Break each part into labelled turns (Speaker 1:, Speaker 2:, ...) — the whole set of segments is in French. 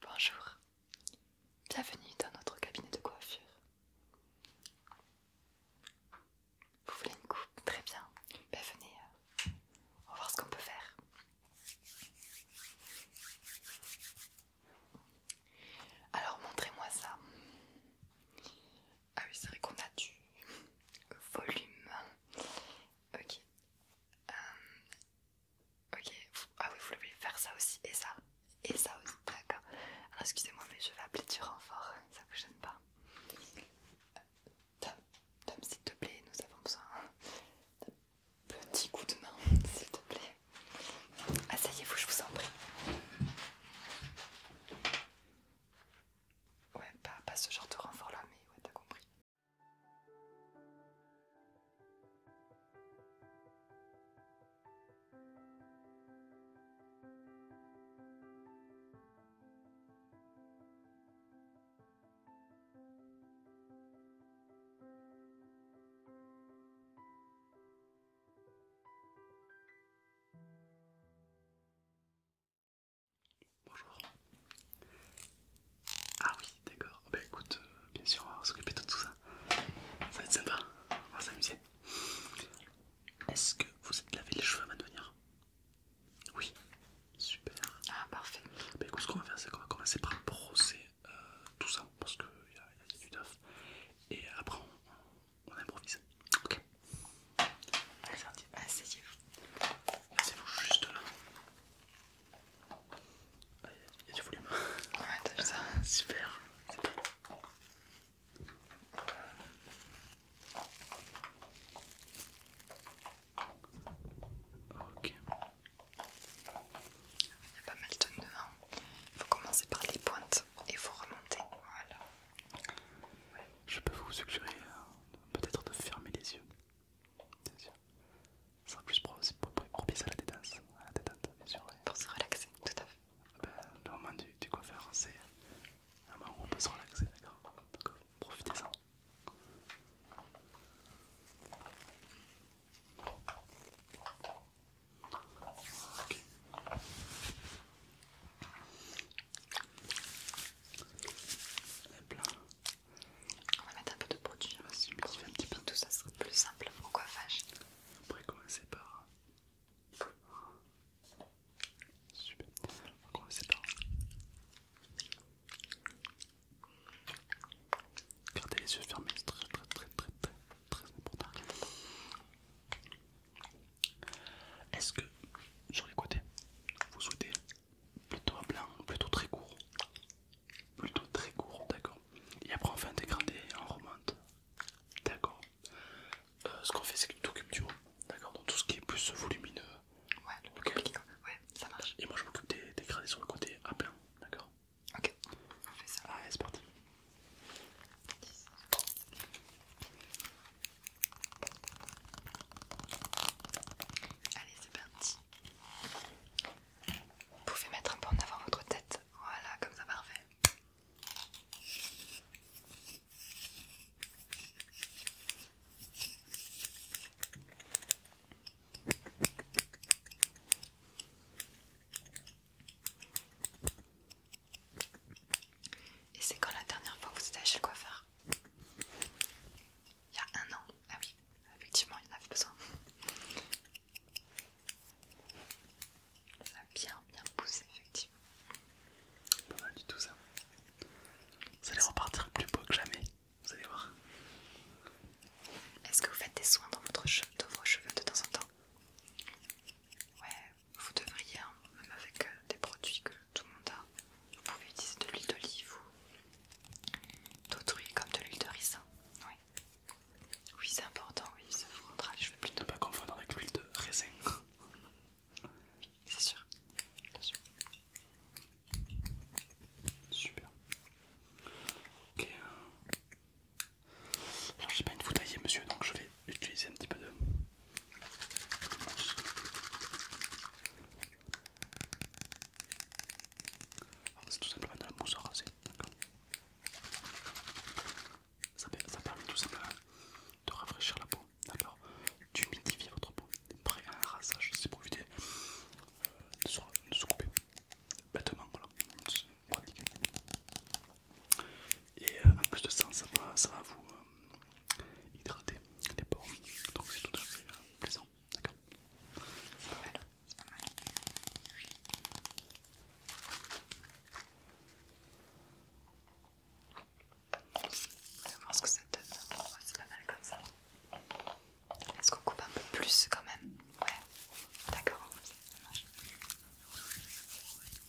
Speaker 1: Bonjour, bienvenue dans notre cabinet de coiffure. Vous voulez une coupe Très bien. Ben venez, euh, on va voir ce qu'on peut faire. Alors montrez-moi ça. Ah oui, c'est vrai qu'on a du volume. Ok. Euh, ok. Ah oui, vous voulez faire ça aussi et ça et ça aussi. D'accord. Alors excusez-moi, mais je vais appeler du renfort. Ça vous gêne pas Tom, Tom, s'il te plaît, nous avons besoin d'un petit coup de main, s'il te plaît. Asseyez-vous, je vous en prie. Ouais, pas, pas ce genre de renfort là, mais ouais, t'as compris. Bonjour. Ah oui, d'accord. Bah écoute, euh, bien sûr, on va s'occuper de tout ça. Ça va être sympa, on va s'amuser. Est-ce que vous êtes lavé les cheveux à de venir Oui, super. Ah parfait. Bah écoute, ce qu'on va faire, c'est qu'on va commencer par brosser euh, tout ça parce qu'il y, y a du neuf. Et après, on, on improvise. Ok. Allez, vous vous juste là. Il y, a du volume. Ouais, t'as vu ça Super. Ok. Il y a pas mal de tonnes devant. Il faut commencer par les pointes et il faut remonter. Voilà. Je peux vous suggérer euh, peut-être de fermer les yeux. c'est sûr. Ça sera plus propice à la détente. Pour se relaxer, tout à fait. le ben, moment du, coiffeur, c'est un moment où on peut se relaxer, d'accord profitez-en. Ok. On va mettre un peu de produit. on va Un petit peu tout ça serait plus simple le coiffage. Après commencer par... Super. On va commencer par... Gardez les yeux fermés, c'est très très très très très important. Est-ce que sur les côtés, vous souhaitez plutôt à plein, plutôt très court Plutôt très court, d'accord. Et après on fait un dégradé et on remonte. D'accord. Euh, ce qu'on fait c'est que tu t'occupes du haut. D'accord, donc tout ce qui est plus volumineux. Ouais, ouais ça marche. Et moi je m'occupe des dégradés sur le côté à plein, d'accord Ok, on fait ça. Allez c'est parti. Allez, c'est parti. Vous pouvez mettre un peu en avant votre tête. Voilà, comme ça, parfait. Et c'est quand la dernière fois que vous êtes chez le coiffeur Il y a un an. Ah oui, effectivement, il en avait besoin. Ça a bien bien poussé, effectivement. Pas mal du tout ça. Vous allez repartir plus beau que jamais, vous allez voir. Est-ce que vous faites des soins dans, votre vos cheveux de temps en temps Ouais, vous devriez, hein, même avec euh, des produits que tout le monde a, vous pouvez utiliser de l'huile d'olive ou d'autres huiles comme de l'huile de raisin. Oui, oui c'est important, oui, ça vous rendra les cheveux plus Ne pas confondre avec l'huile de raisin. C'est sûr. sûr. Super. Ok. Euh, je j'ai pas une foutaillée monsieur donc je vais utiliser un petit peu de... C'est tout simplement de la mousse à raser, ça, permet tout simplement de rafraîchir la peau, d'accord D'humidifier votre peau, prêt à un rasage, c'est pour éviter euh, de, se, couper bêtement, voilà, et euh, en plus de ça, ça va, vous euh, hydrater les pores. Donc c'est tout à fait euh, plaisant. D'accord voilà. Je pense que ça donne. c'est pas mal comme ça. Est-ce qu'on coupe un peu plus quand même Ouais. D'accord. Ça marche.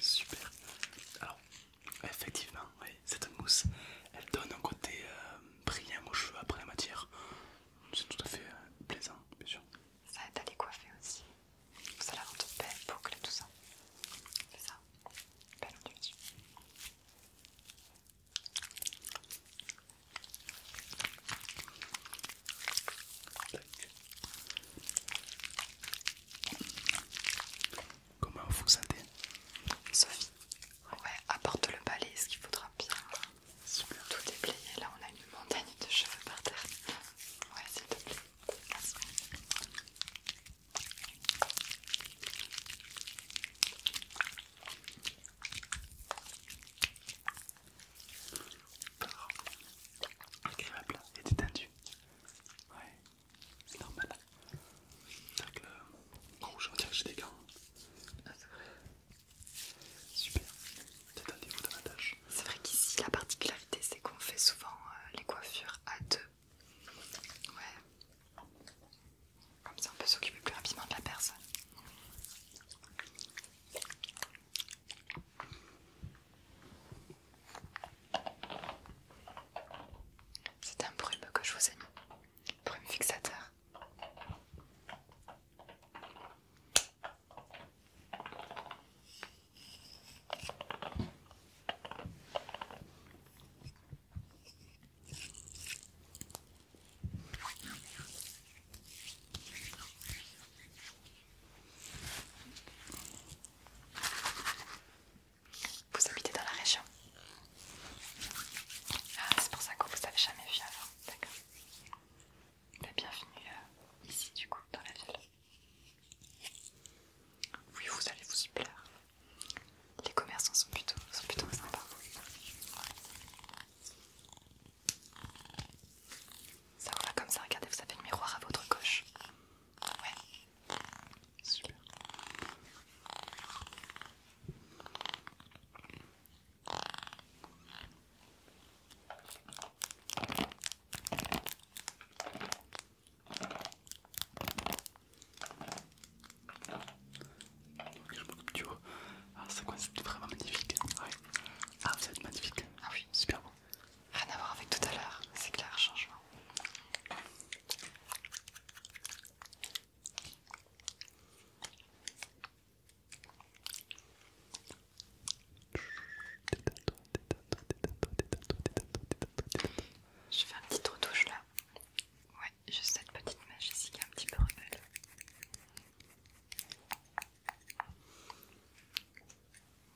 Speaker 1: Super. Alors, effectivement, cette mousse elle donne un côté euh, brillant aux cheveux après la matière. C'est tout à fait euh, plaisant, bien sûr. Ça aide à les coiffer aussi. Ça la rend toute belle, boucle, tout ça. C'est ça. Belle ondulation. Comment vous sentez Sophie, Ouais, apporte le balai, ce qu'il faudra bien tout déblayer. Là, on a une montagne de cheveux par terre. Ouais, s'il te plaît. Merci. Agréable et détendu. Ouais, c'est normal des gants. Ah, c'est vrai. Super. C'est vrai qu'ici, la particularité, c'est qu'on fait souvent euh, les coiffures à deux. Ouais. Comme ça, on peut s'occuper plus rapidement de la personne. C'est un brûle que je vous ai mis un fixateur. Vous habitez dans la région Ah, c'est pour ça que vous ne avez jamais vu avant, d'accord. Bienvenue euh, ici, du coup, dans la ville. Oui, vous allez vous y plaire. Les commerçants sont plutôt, sont plutôt sympas. Ça va comme ça, regardez, vous avez le miroir à votre gauche. Ouais, Super. Donc je du haut. Ah, c'est quoi C'est vraiment magnifique. Hein. Ah, vous êtes magnifique. Ah oui. Super bon. Rien à voir avec tout à l'heure, c'est clair, changement. Je fais un petit retouche là. Ouais, juste cette petite mèche ici qui est un petit peu rebelle.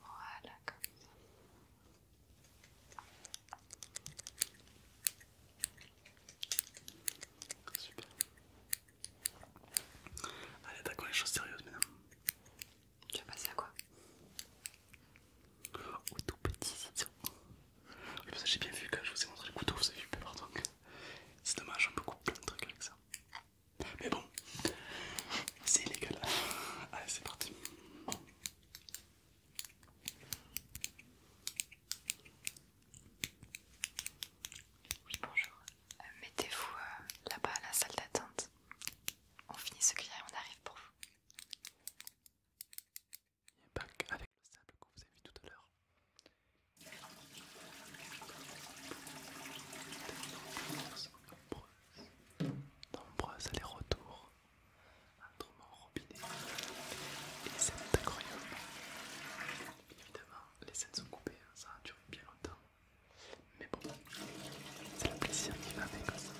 Speaker 1: Voilà, comme ça. Super. Allez, quoi les choses sérieuses maintenant. Tu vas passer à quoi Au tout petit ciseau. j'ai bien vu quand je vous ai montré le couteau, vous avez vu peur donc c'est dommage, on peut couper plein de trucs avec ça. Mais bon, c'est illégal. Allez, c'est parti. Oui, bonjour. Euh, mettez-vous euh, là-bas à la salle d'attente. On finit ce qu'il y a et on arrive pour vous. Il n'y a avec le sable que vous avez vu tout à l'heure. nombreuses, nombreuses aller-retour mon robinet et les scènes incroyables. Évidemment, les scènes sont coupées, hein. ça a duré bien longtemps. Mais bon, c'est la plaisir qui va avec hein, ça.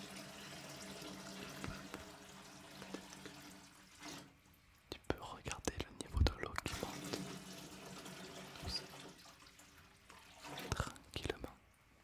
Speaker 1: Tu peux regarder le niveau de l'eau qui monte tranquillement.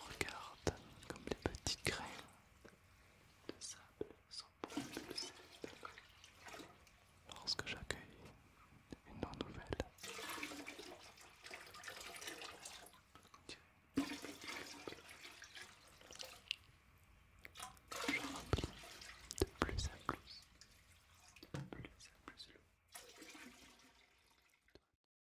Speaker 1: Regarde comme les petites grains de sable sont bons de d'accord lorsque j'accueille une eau nouvelle. Je remplis de plus en plus, de plus en plus l'eau.